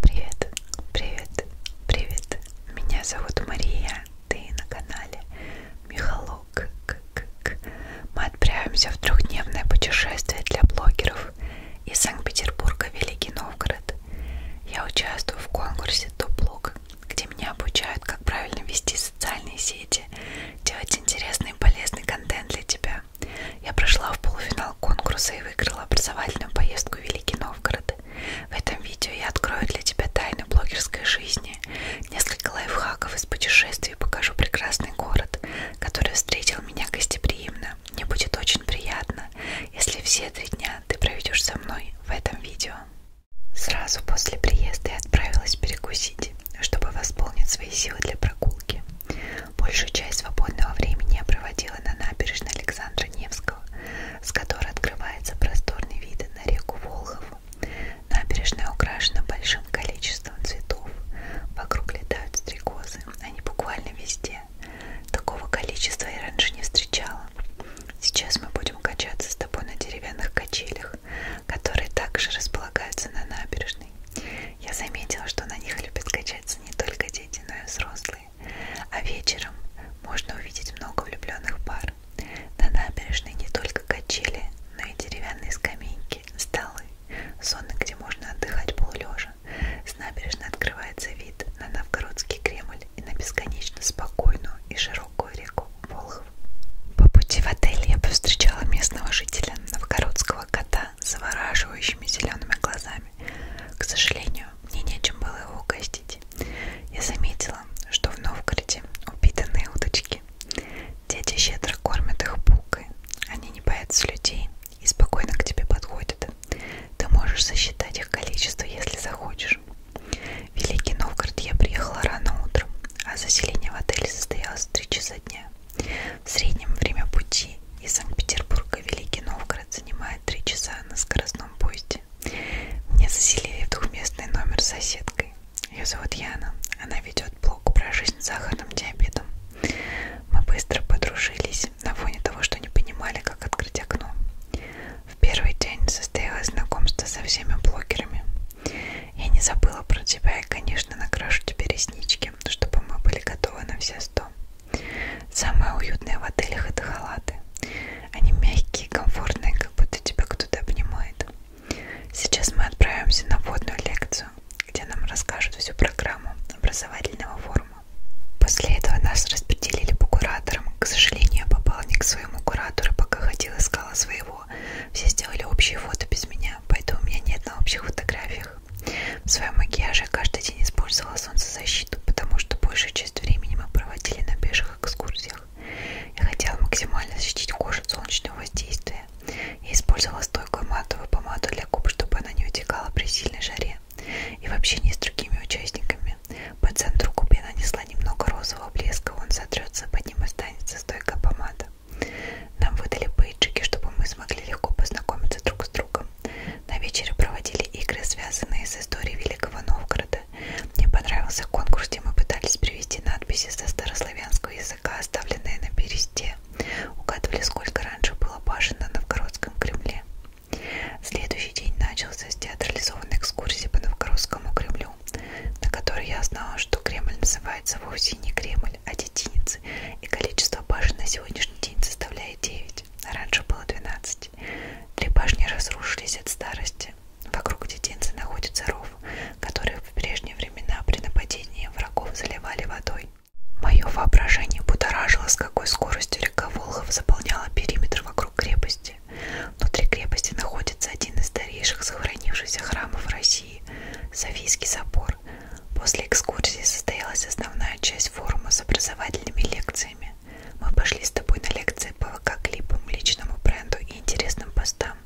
Привет, привет, привет. Меня зовут Мария. Ты на канале Михалок. Мы отправимся в трехдневное путешествие для блогеров из Санкт-Петербурга в Великий Новгород. Я участвую в конкурсе Топ-блог, где меня обучают, как правильно вести социальные сети, делать интересный и полезный контент для тебя. Я прошла в полуфинал конкурса и выиграла образовательную поездку в Великий Новгород. В этом видео я открою для тебя тайны блогерской жизни, несколько лайфхаков из путешествий и покажу прекрасный город, который встретил меня гостеприимно. Мне будет очень приятно, если все три дня ты проведешь со мной в этом видео. Сразу после приезда я отправилась перекусить, чтобы восполнить свои силы для прогулки. Большую часть свободного времени я проводила на набережной Александра Невского, с которой открывается просторный вид на реку Волхову. Набережная украшена большим количеством цветов. Вокруг летают стрекозы, они буквально везде. Такого количества я раньше не встречала. Сейчас мы будем качаться с тобой на деревянных качелях, которые также располагаются на набережной. Я заметила, что на них любят качаться не только дети, но и взрослые. А вечером можно увидеть много влюбленных пар. На набережной не только качели, но и деревянные скамейки, столы, зоны, где можно отдыхать полулежа. С набережной открывается вид на Новгородский Кремль и на бесконечно спокойную и широкую реку Волхов. По пути в отель я повстречала местного жителя Новгородского кота завораживающими зелеными глазами. К сожалению, мне нечем было его угостить. Я заметила, что в Новгороде упитанные удочки. Дети щедро кормят их булкой. Они не боятся людей и спокойно к тебе подходят. Ты можешь сосчитать их количество, если захочешь. В Великий Новгород я приехала рано утром, а заселение в отеле состоялось в 3 часа дня. В среднем время пути из Санкт-Петербурга в Великий Новгород занимает 3 часа на скоростном поезде. Меня заселили в двухместный номер с соседкой. Ее зовут Яна. Она ведет блог про жизнь с сахарным диабетом. Мы быстро подружились на фоне того, что не понимали, как открыть окно. В первый день состоялось знакомство со всеми блогерами. Я не забыла про тебя и, конечно, накрашу тебе реснички, чтобы мы были готовы на все сто. Самое уютное в отелях это халаты. Они мягкие, комфортные, как будто тебя кто-то обнимает. Сейчас мы отправимся на водную лекцию, где нам расскажут всю программу образовательного форума. После этого нас распределили по кураторам. К сожалению, я попала не к своему куратору, пока ходила искала своего всего. Все сделали общие фото без меня, поэтому у меня нет на общих фотографиях. В своем макияже каждый день использовала солнцезащиту, потому что большую часть времени мы проводили на пеших экскурсиях. Я хотела максимально защитить кожу от солнечного воздействия. Я использовала стойкую матовую помаду для губ, чтобы она не утекала при сильной жаре и в общении с другими участниками. По центру губе нанесла немного розового блеска, он сотрется, под ним останется стойкая помада. Нам выдали бейджики, чтобы мы смогли легко познакомиться друг с другом. На вечере проводили игры, связанные с историей Великого Новгорода. Мне понравился конкурс, где мы пытались привести надписи со старославянского языка, оставленные на бересте. Угадывали, сколько раньше было башен на Новгородском Кремле. Следующий день начался с театрализованной экскурсии по Новгородскому Кремлю Кремлю, на которой я знала, что Кремль называется вовсе не Кремль, а Детиницы, и количество башен на сегодняшний день составляет 9, а раньше было 12. Три башни разрушились от старости. Вокруг Детинцы находится ров, который в прежние времена при нападении врагов заливали водой. Мое воображение будоражило, с какой скоростью река Волхов заполняла периметр вокруг крепости крепости. Внутри крепости находится один из старейших сохранившихся храмов России – Софийский собор. После экскурсии состоялась основная часть форума с образовательными лекциями. Мы пошли с тобой на лекции по ВК-клипам, личному бренду и интересным постам.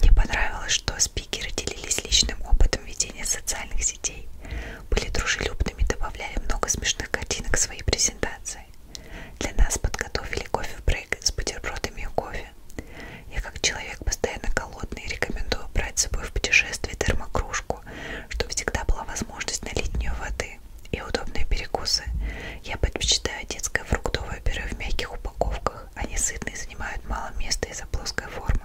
Мне понравилось, что спикеры делились личным опытом ведения социальных сетей, были дружелюбными, добавляли много смешных картинок к своей презентации порции. Для нас подготовили кофе-брейк с бутербродами и кофе. Я как человек постоянно голодный рекомендую брать с собой в путешествие термокружку, чтобы всегда была возможность налить в нее воды и удобные перекусы. Я предпочитаю детское фруктовое пюре в мягких упаковках. Они сытные и занимают мало места из-за плоской формы.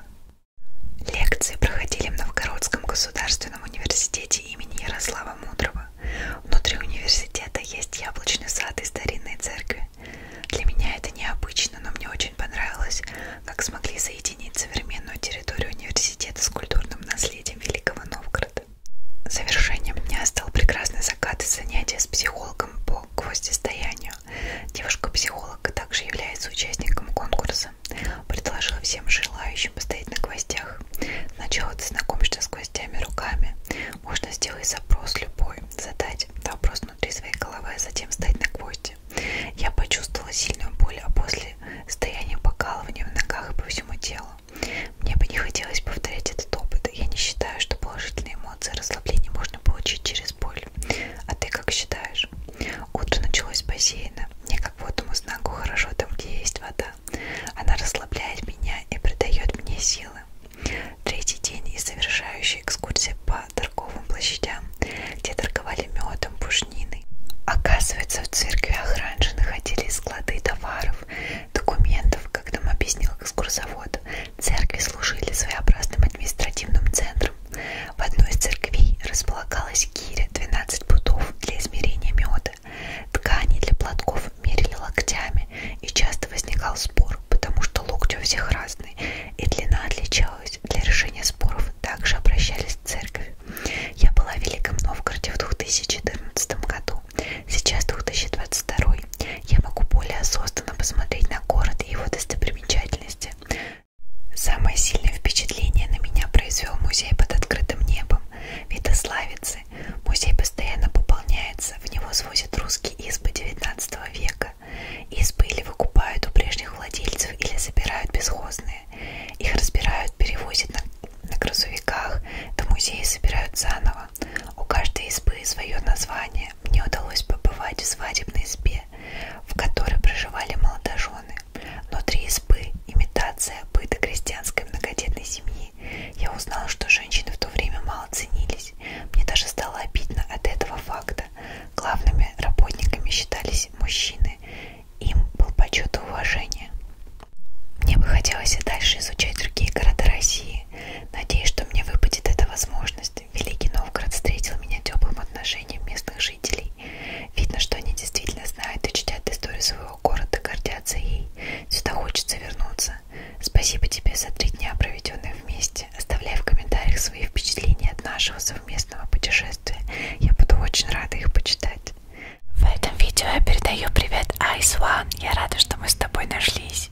Лекции проходили в Новгородском государственном университете площади имени Ярослава Мудрого. Внутри университета есть яблочный сад и старинные церкви. Для меня это необычно, но мне очень понравилось, как смогли соединить современную территорию университета с культурным наследием Великого Новгорода. Завершением дня стал прекрасный закат и занятия с психологом по гвоздестоянию. Девушка-психолог а также является участником конкурса вопроса. Предложила всем желающим постоять на гвоздях. Сначала ты знакомишься с гвоздями руками. Можно сделать запрос любой, задать вопрос внутри своей головы, а затем стать на гвозди. Я почувствовала сильную боль, а после состояние покалывания в ногах и по всему телу. Мне бы не хотелось повторять этот опыт. Я не считаю, что положительные эмоции расслабления можно получить через боль. А ты как считаешь? Утро началось с бассейна. Я как водному знаку хорошо там, где есть вода. Она расслабляет меня и придает мне силы. Третий день и совершающая экскурсия по торговым площадям, где торговали медом, пушниной. Оказывается, в церквях раньше находились склады товаров, документов, как нам объяснил экскурсовод. Церкви служили своеобразным административным центром в одной из церквей располагалась гиря 12 пудов для измерения меда. Ткани для платков мерили локтями, и часто возникал спор, потому что локти у всех разные, и длина отличалась. Для решения споров также обращались в церковь. Я была в Великом Новгороде в 2014 году, сейчас 2022. Я могу более осознанно посмотреть на город и его достопримечательности. Самое сильное впечатление на меня произвел музей под открытым небом Витославицы. Музей постоянно пополняется, в него свозят русские избы XIX века. Избы или выкупают у прежних владельцев, или забирают бесхозные. Их разбирают, перевозят на, на грузовиках, до музея собирают заново. У каждой избы свое название. Мне удалось побывать в свадебной избе в которой проживали молодожены. Но три избы, имитация быта крестьянской многодетной семьи. Я узнала, что женщины в то время мало ценились. Мне даже стало обидно от этого факта. Главными работниками считались мужчины. Им был почет и уважение. Мне бы хотелось и дальше изучать другие города России. Надеюсь, что мне выпадет эта возможность. Великий Новгород встретил меня теплым отношением местных жителей. Видно, что они действительно знают и чтят историю своего города, гордятся ей. Сюда хочется вернуться. Спасибо тебе за три дня, проведенные вместе. Оставляй в комментариях свои впечатления от нашего совместного путешествия. Я буду очень рада их почитать. В этом видео я передаю привет Ice One. Я рада, что мы с тобой нашлись.